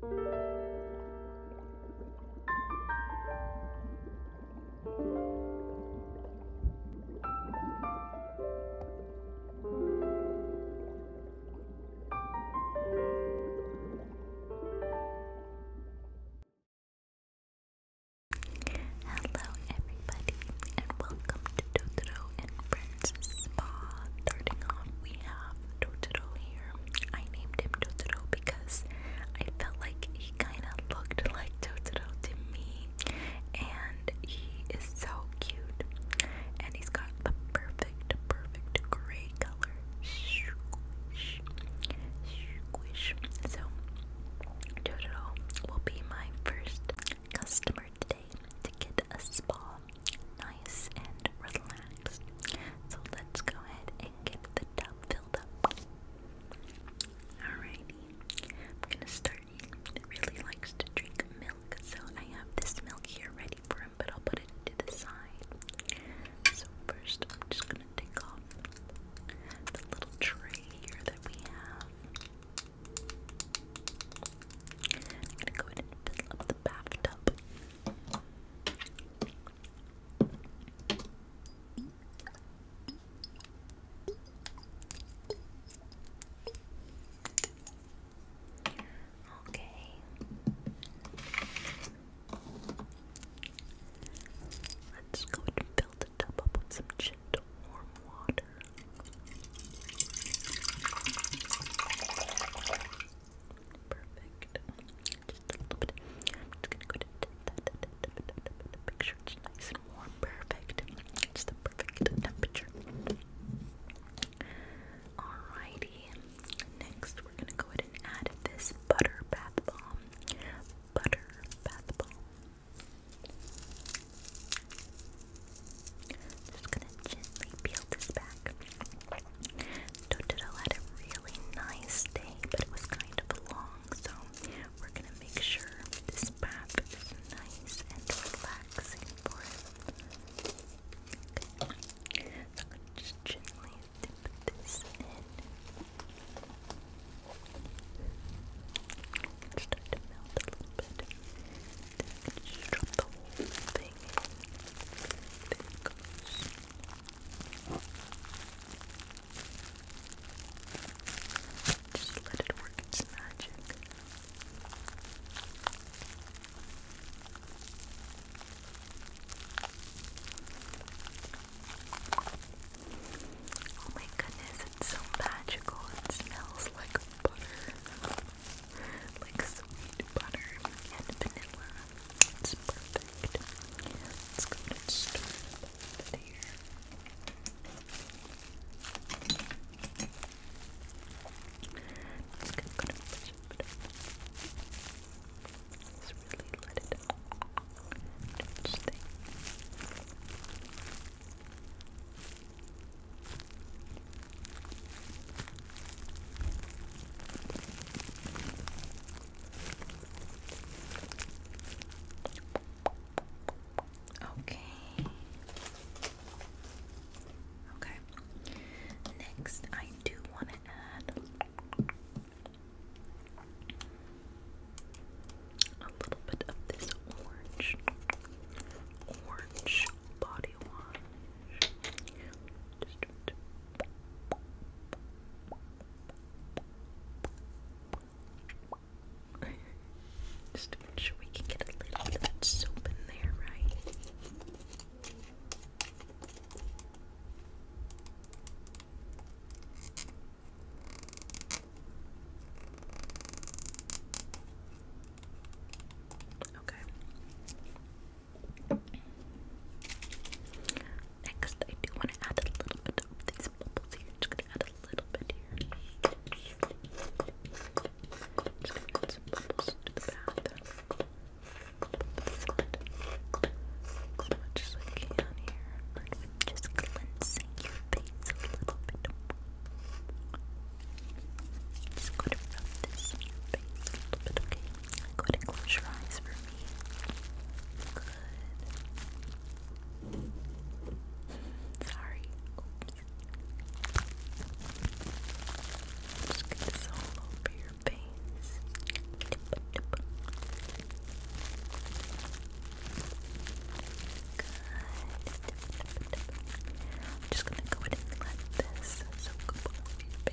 Hello, everybody, and welcome to Totoro and Friends Spa. Starting off, we have Totoro here. I named him Toto because I felt like he kind of looked like Toto to me, and he is so cute. And he's got the perfect, perfect gray color. Squish, squish. So, Toto will be my first customer today to get a spa nice and relaxed. So let's go ahead and get the tub filled up. Alrighty, I'm gonna start. He really likes to drink milk, so I have this milk here ready for him, but I'll put it to the side. So first, I'm just gonna take off the little tray here that we have. I'm gonna go ahead and fill up the bathtub. Okay. Let's go and fill the tub up with some gentle warm water. Perfect. Just a little bit. just gonna go to make sure it's nice and warm. Perfect. It's the perfect temperature. Alrighty. Next, we're gonna go ahead and add this butter bath bomb. Butter bath bomb. Just gonna gently peel this back. Totoro had a really nice day, but it was kind of long, so we're gonna make sure this bath is nice and relaxing for him. So I'm just gently dip this in. It's to melt a little bit. just drop the whole thing in. There goes. Just let it work its magic. Oh my goodness, it's so magical. It smells like butter. like butter and vanilla. It's perfect. Let's go ahead and stir it here. Just to go ahead and push really let it touch things. Okay. Okay. Next, I do want to add a little bit of this orange, orange body wash. Just to make sure we can get a little bit of that soap in there, right? Okay. Next, I do want to add a little bit of these bubbles here. Just gonna add a little bit here. Just some bubbles to the bath. As much here. just cleansing your face a little bit. Just gonna rub this in your face a little bit, okay? Go ahead close your eyes for me. Good. Sorry. Just get this all over your face. Good. I'm just gonna go ahead and let this all of your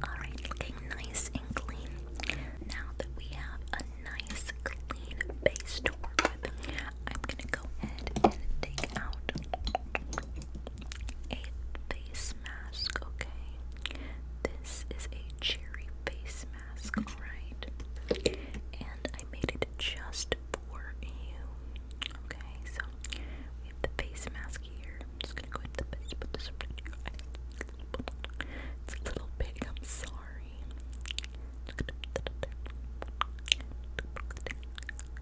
Alright, looking nice and clean. Now that we have a nice clean base to I'm gonna go ahead and take out a face mask, okay. This is a cherry face mask, alright? And I made it just for you. Okay, so the face mask here. just gonna go ahead and put this over your It's a little big, I'm sorry.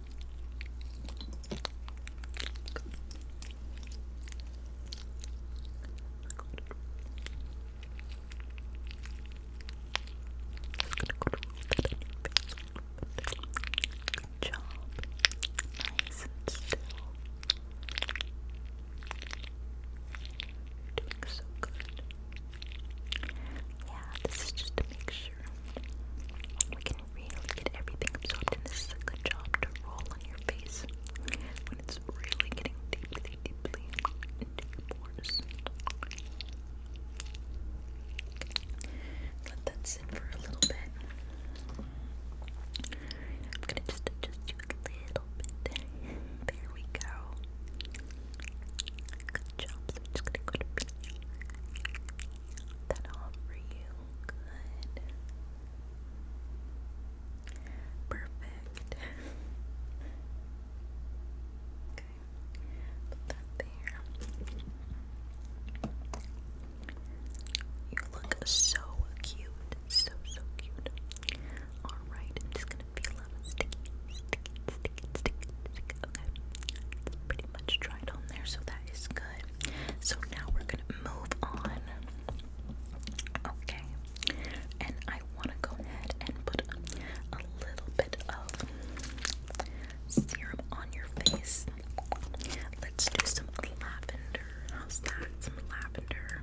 Good job. Nice and still. you so good. Yeah, this is just to make sure really get everything absorbed, and this is a good job to roll on your face when it's really getting deeply, deeply into Let that sit for a little bit. I'm gonna just adjust you a little bit. There we go. Good job. just gonna go to that all for you. Good. Perfect. okay. Put that there. You look so cute. So, so cute. Alright, I'm just gonna feel up sticky, sticky, sticky, sticky, Okay. pretty much dried on there, so that is good. So now we're gonna move on. Okay, and I want to go ahead and put a, little bit of serum on your face. Let's do some lavender. How's that? Some lavender.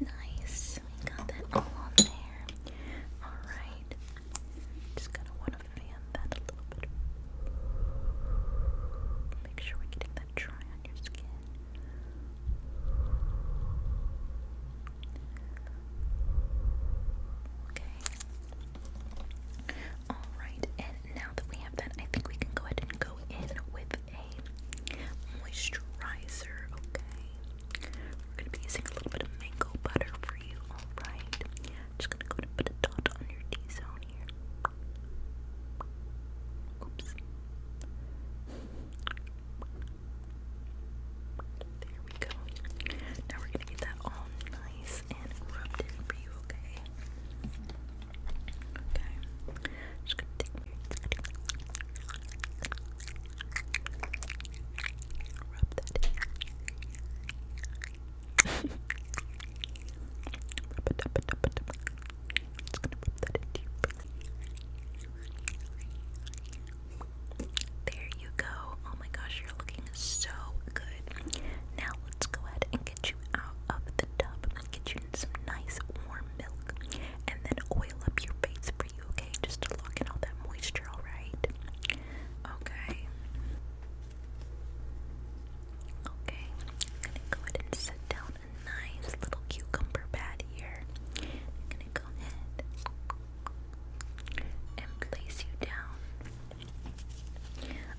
Nice. We got that all on there. Alright. Just gonna wanna fan that a little bit. Make sure we're that dry on your skin. Okay. Alright, and now that we have that, I think we can go ahead and go in with a moisturizer, okay? We're gonna be using a little bit of mango butter for you, alright? Just gonna go to put a dot on your D zone here. Oops. There we go. Now we're gonna get that all nice and rubbed in for you, okay? Okay. Just gonna take there you go. Oh my gosh, you're looking so good. Now let's go ahead and get you out of the tub. Get you some nice warm milk and then oil up your face for you, okay? Just to lock in all that moisture, alright? Okay. Okay, I'm gonna go ahead and set down a nice little cucumber pad here. I'm gonna go ahead and place you down.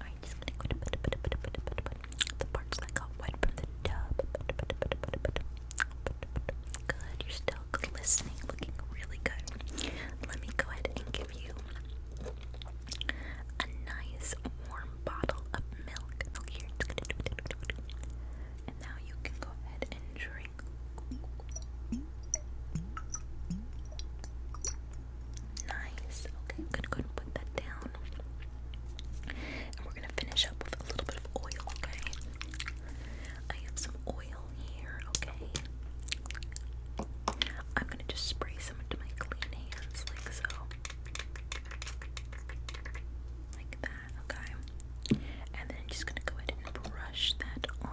Alright, just gonna go to put, put, put, put, put, put, put the parts that got wet from the tub. Put, put, put, put, put, put, put, Good, you're still glistening, looking really good. Let me go ahead and give you a nice warm bottle of milk. Milk And now you can go ahead and drink. Nice. Okay, I'm put that down. And we're gonna finish up with a little bit of oil, okay? I have some oil here, okay? I'm gonna just spray some into my clean hands, like so. Like that, okay? And then I'm just gonna go ahead and brush that on.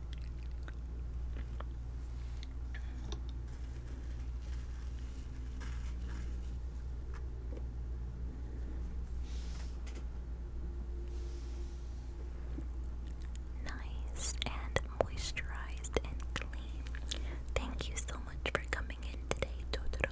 Nice and moisturized and clean. Thank you so much for coming in today, Totoro.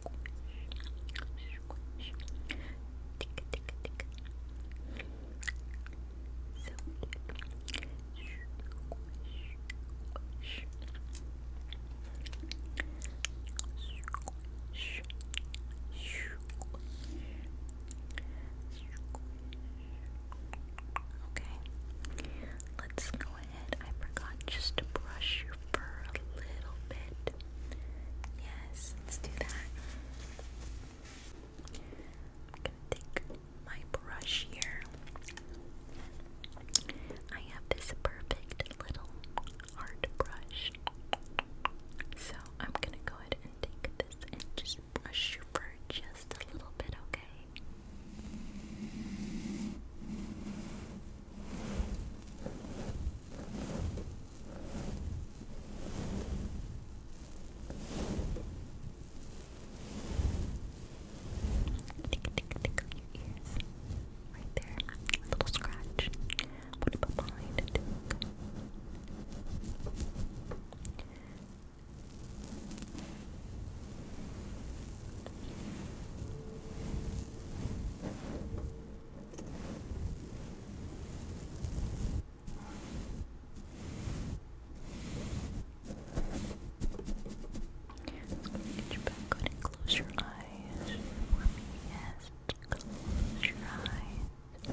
squish. Tick, Okay, let's go ahead. I forgot just to brush your for a little bit. Yes, let's do that. I'm gonna take my brush here. I have this perfect little art brush. So I'm gonna go ahead and take this and just brush your fur just a little bit, okay? Tick, tick, tickle your ears. Right there. little scratch. What about behind it? Get your back on and close your eyes Yes, close your eyes.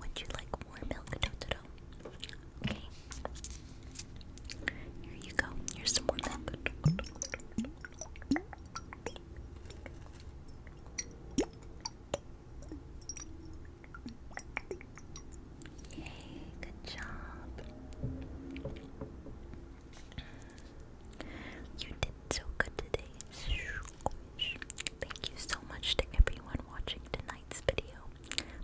Would you like more milk, Okay. Here you go. Here's some more milk. good job. You did so good today. Thank you so much to everyone watching tonight's video.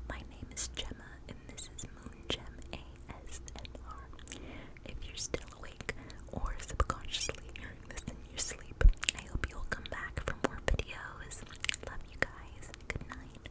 My name is Gemma, and this is Moongem ASMR. If you're still awake or subconsciously hearing this in your sleep, I hope you'll come back for more videos. Love you guys. Good night.